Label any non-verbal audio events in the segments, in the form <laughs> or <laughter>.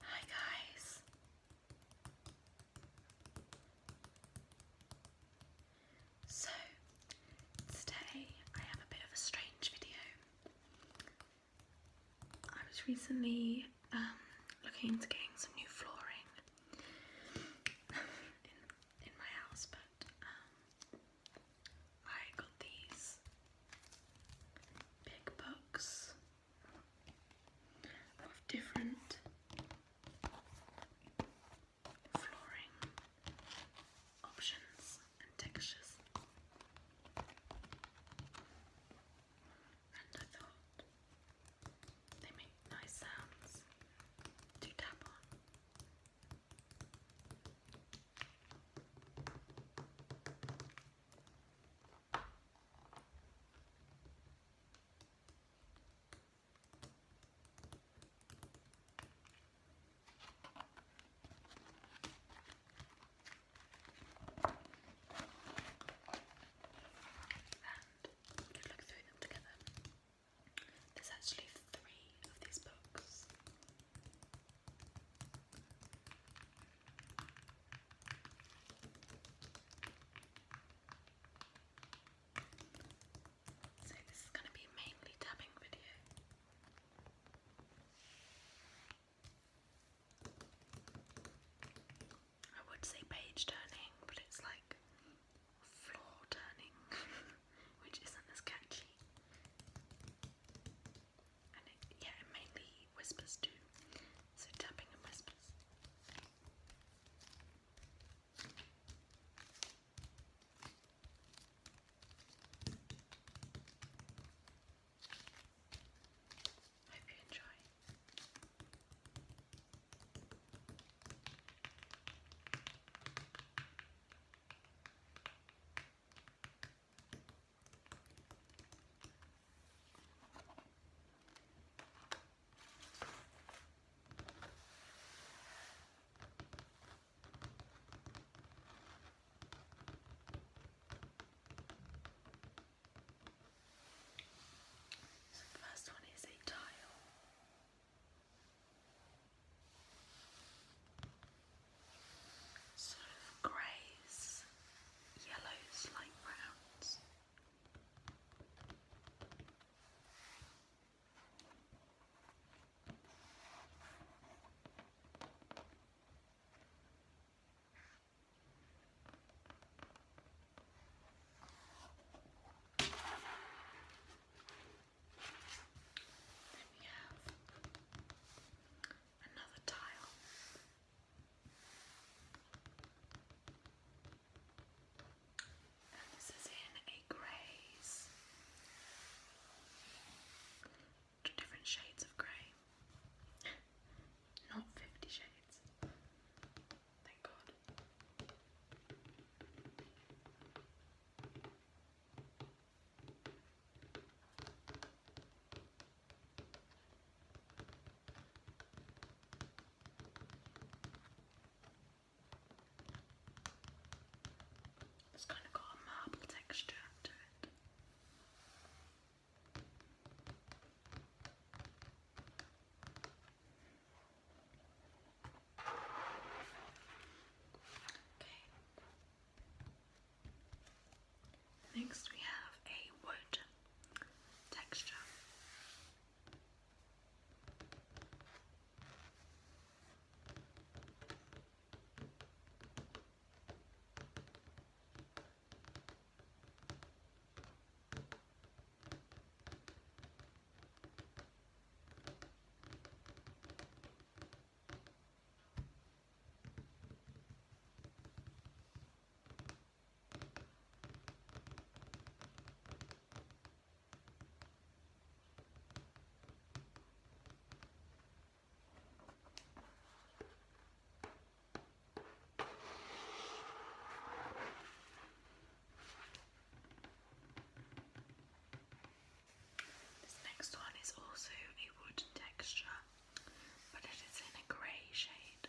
Hi guys. So today I have a bit of a strange video. I was recently um, looking into getting some new flooring <laughs> in, my house, but um, I got these big books of different flooring options and textures. And I thought they make nice sounds to tap on. And we look through them together. There's actually three of these books. So this is going to be mainly tapping video. I would say page turning, but it's like floor turning, <laughs> which isn't as catchy yeah, mainly whispers too, so tapping and whispers. Hope you enjoy. So the first one is a tile. Sort of grays yellow slight browns. Then we have another tile and this is in a greys. Different shades of grey. Not 50 shades. Thank God. It's kind of got a marble texture to it. Okay. Next we have a wood texture. This next one is also a wood texture, but it is in a grey shade.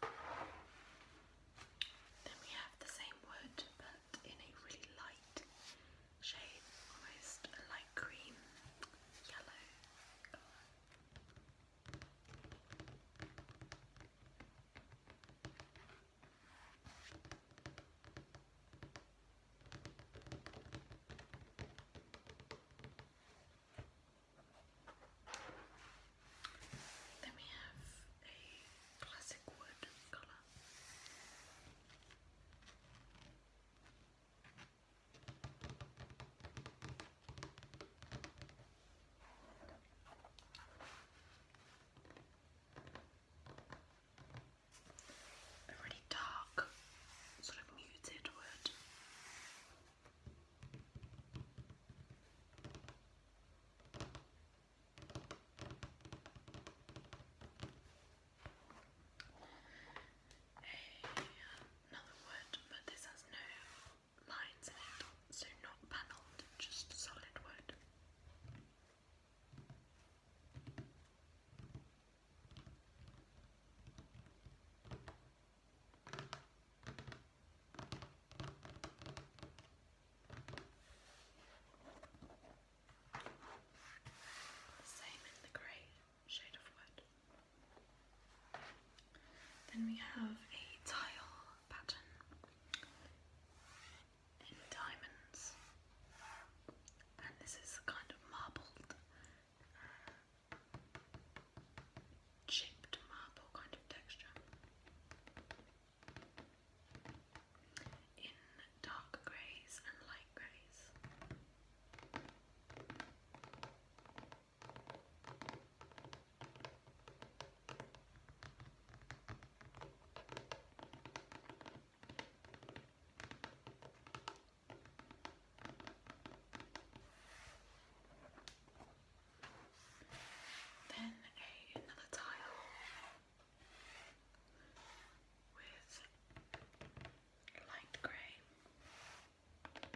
Then we have the same wood but in a really light shade, almost a light cream yellow colour. Then we have a classic wood colour. A really dark, sort of muted wood another wood, but this has no lines in it, so not panelled, just solid wood. Same in the grey shade of wood. Then we have a tile pattern in diamonds, and this is kind of marbled uh, chipped marble kind of texture. In dark greys and light greys. Then a, another tile with light grey,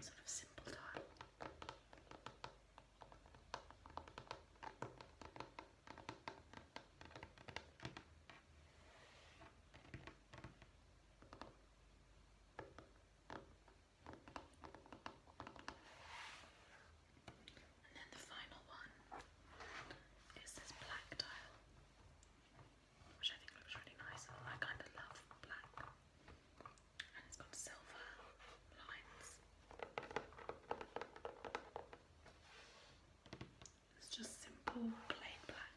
sort of simple tile. And then the final one is this black tile, which I think looks really nice. I kind of love black, and it's got silver lines. It's just simple plain black.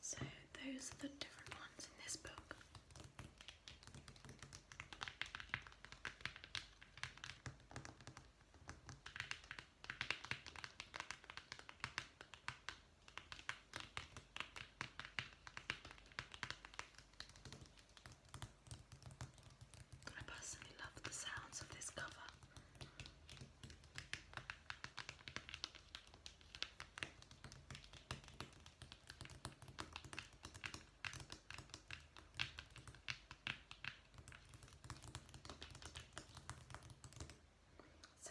So, those are the different ones in this book. I personally love the sounds of this cover. So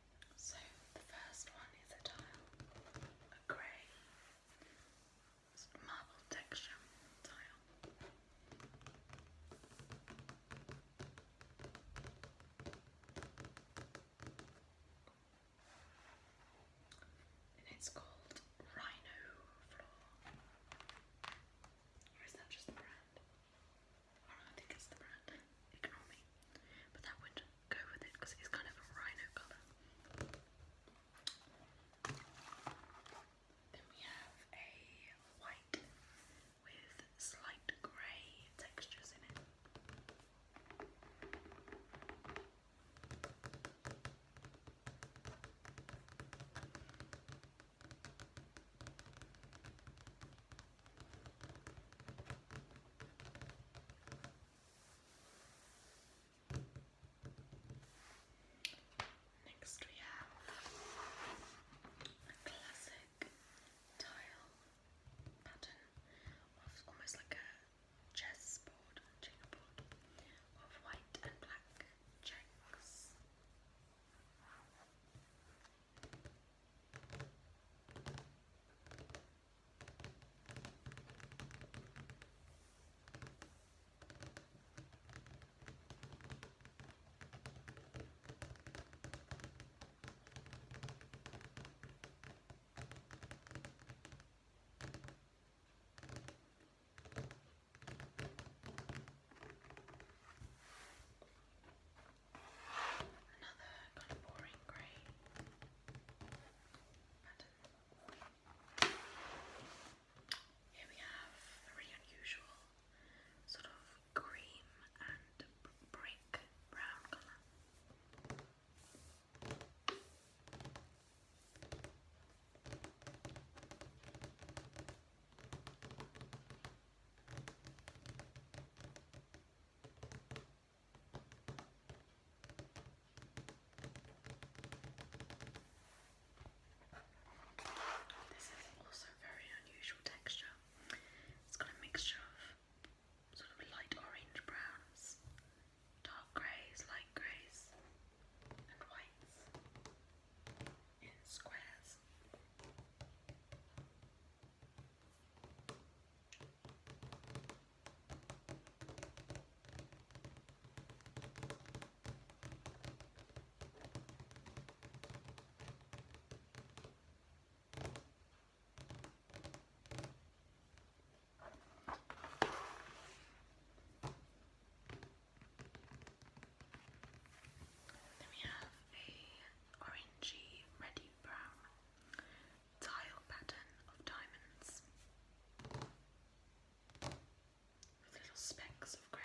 So the first one is a tile, a grey marble texture tile. And it's called Rhino Floor. Or is that just the brand? I think it's the brand ignore me. But that would go with it because it's kind of a rhino colour. Then we have a white with slight grey textures in it. Next we have a classic tile pattern of almost like a chessboard, checkerboard of white and black checks. Another kind of boring grey. Here we have a really unusual sort of cream and brick brown colour. This is also very unusual texture. It's got a mixture of sort of light orange browns, dark greys, light greys, and whites in squares. Then we have a orangey, reddy brown tile pattern of diamonds with little specks of grey.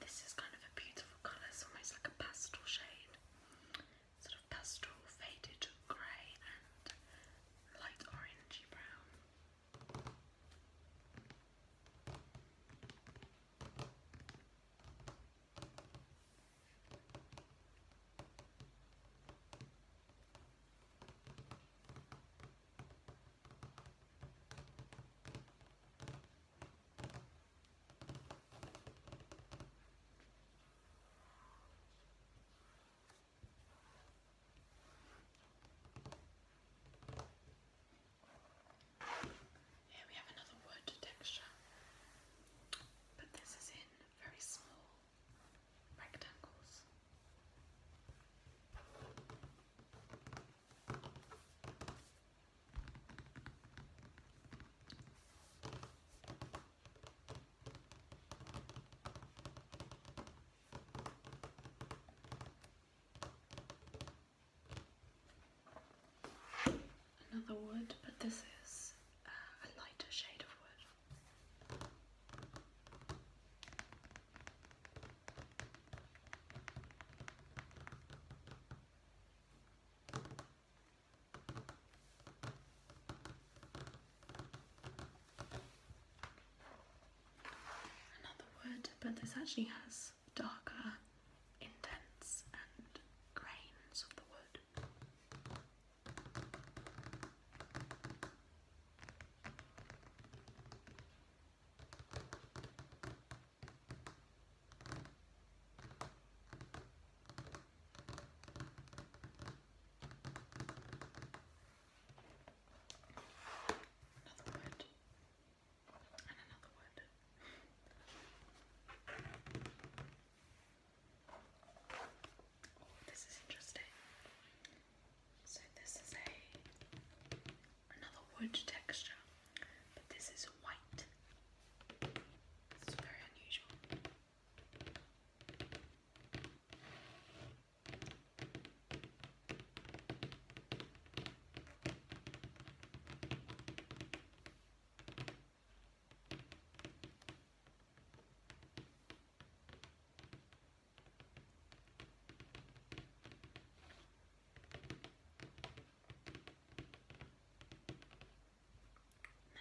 This is kind of a beautiful colour, it's almost like a pastel shade. Sort of pastel, faded grey and light orangey brown. Here we have another wood texture, but this is in very small rectangles. Another wood, but this is uh, a lighter shade of wood. Another wood, but this actually has darker indents and grains of the wood. Another wood and <laughs> another wood. this is interesting. So this is a another wood texture, but this is white. It's very unusual. And then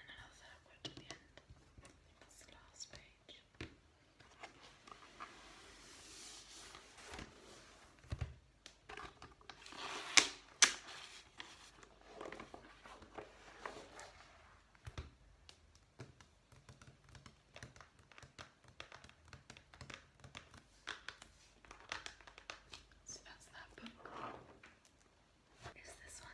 another word at the end. I last page. So that's that book. Is this one?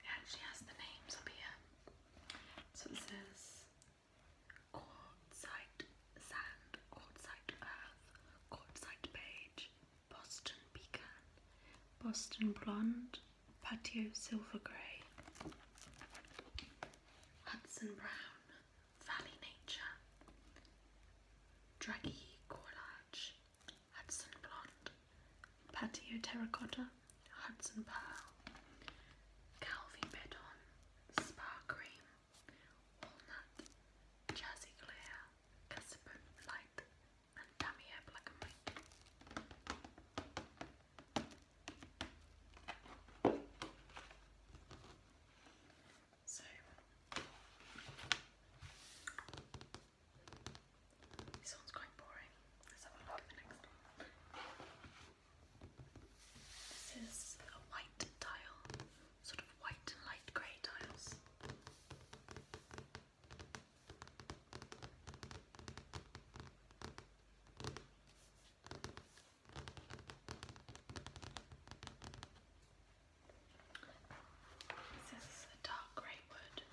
It actually has the names up here. So it says Quartzite Sand, Quartzite Earth, Quartzite Beige, Boston Pecan, Boston Blonde, Patio Silver Grey, Hudson Brown, Valley Nature, Draggy Corlage, Hudson Blonde, Patio Terracotta, Hudson Pearl, Calvi Bedon, Spa Cream, Walnut, Jersey Clear, Casabon Light, and Damier Black and White. So this one's quite boring. This is a white tile, sort of white and light grey tiles. This is a dark grey wood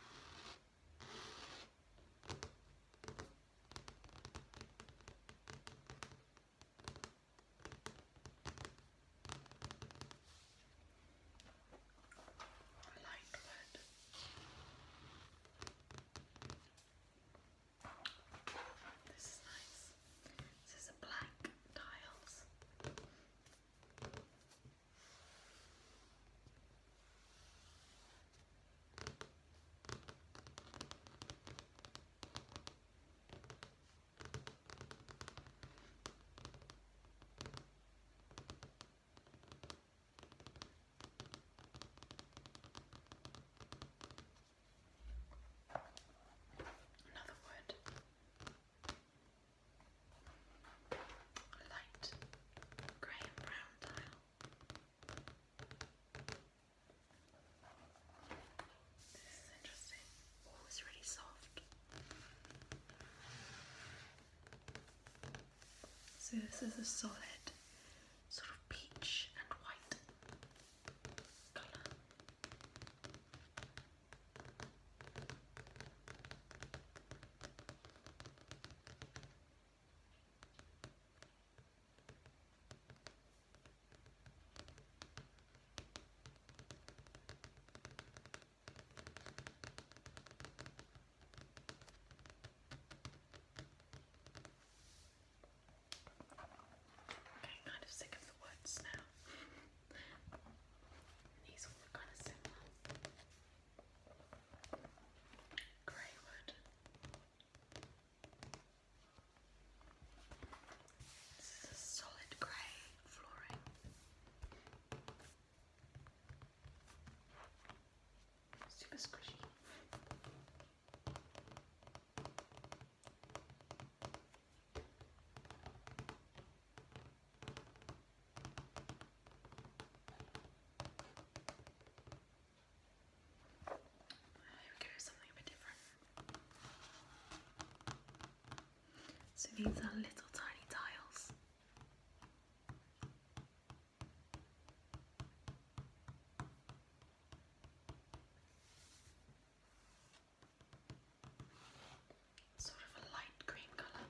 light red. This is nice. This is a black tiles. Another word light grey and brown tile. This is interesting. Oh, it's really soft. So this is a solid sort of peach and white colour. I'm kind of sick of the woods now. <laughs> These all look kind of similar. Greywood. This is a solid grey flooring. Super squishy. So these are little tiny tiles. Sort of a light green colour.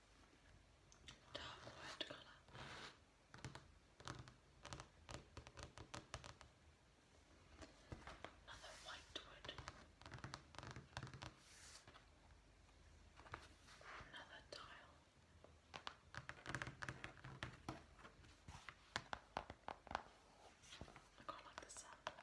dark white colour. Another white wood. Another tile. I quite like the sound.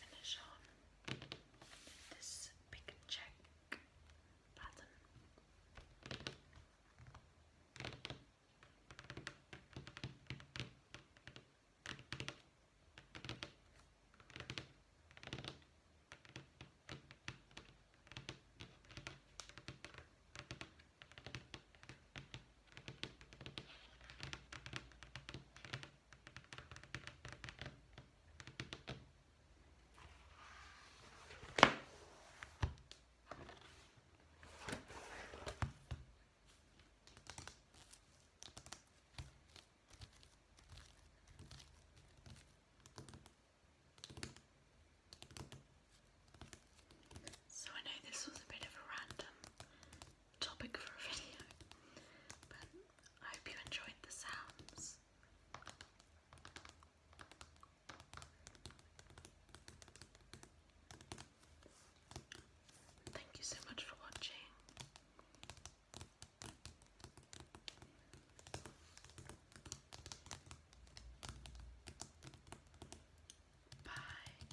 finish on this big check pattern. So I know this was a bit of a random topic for a <laughs> video, but I hope you enjoyed the sounds. Thank you so much for watching. Bye.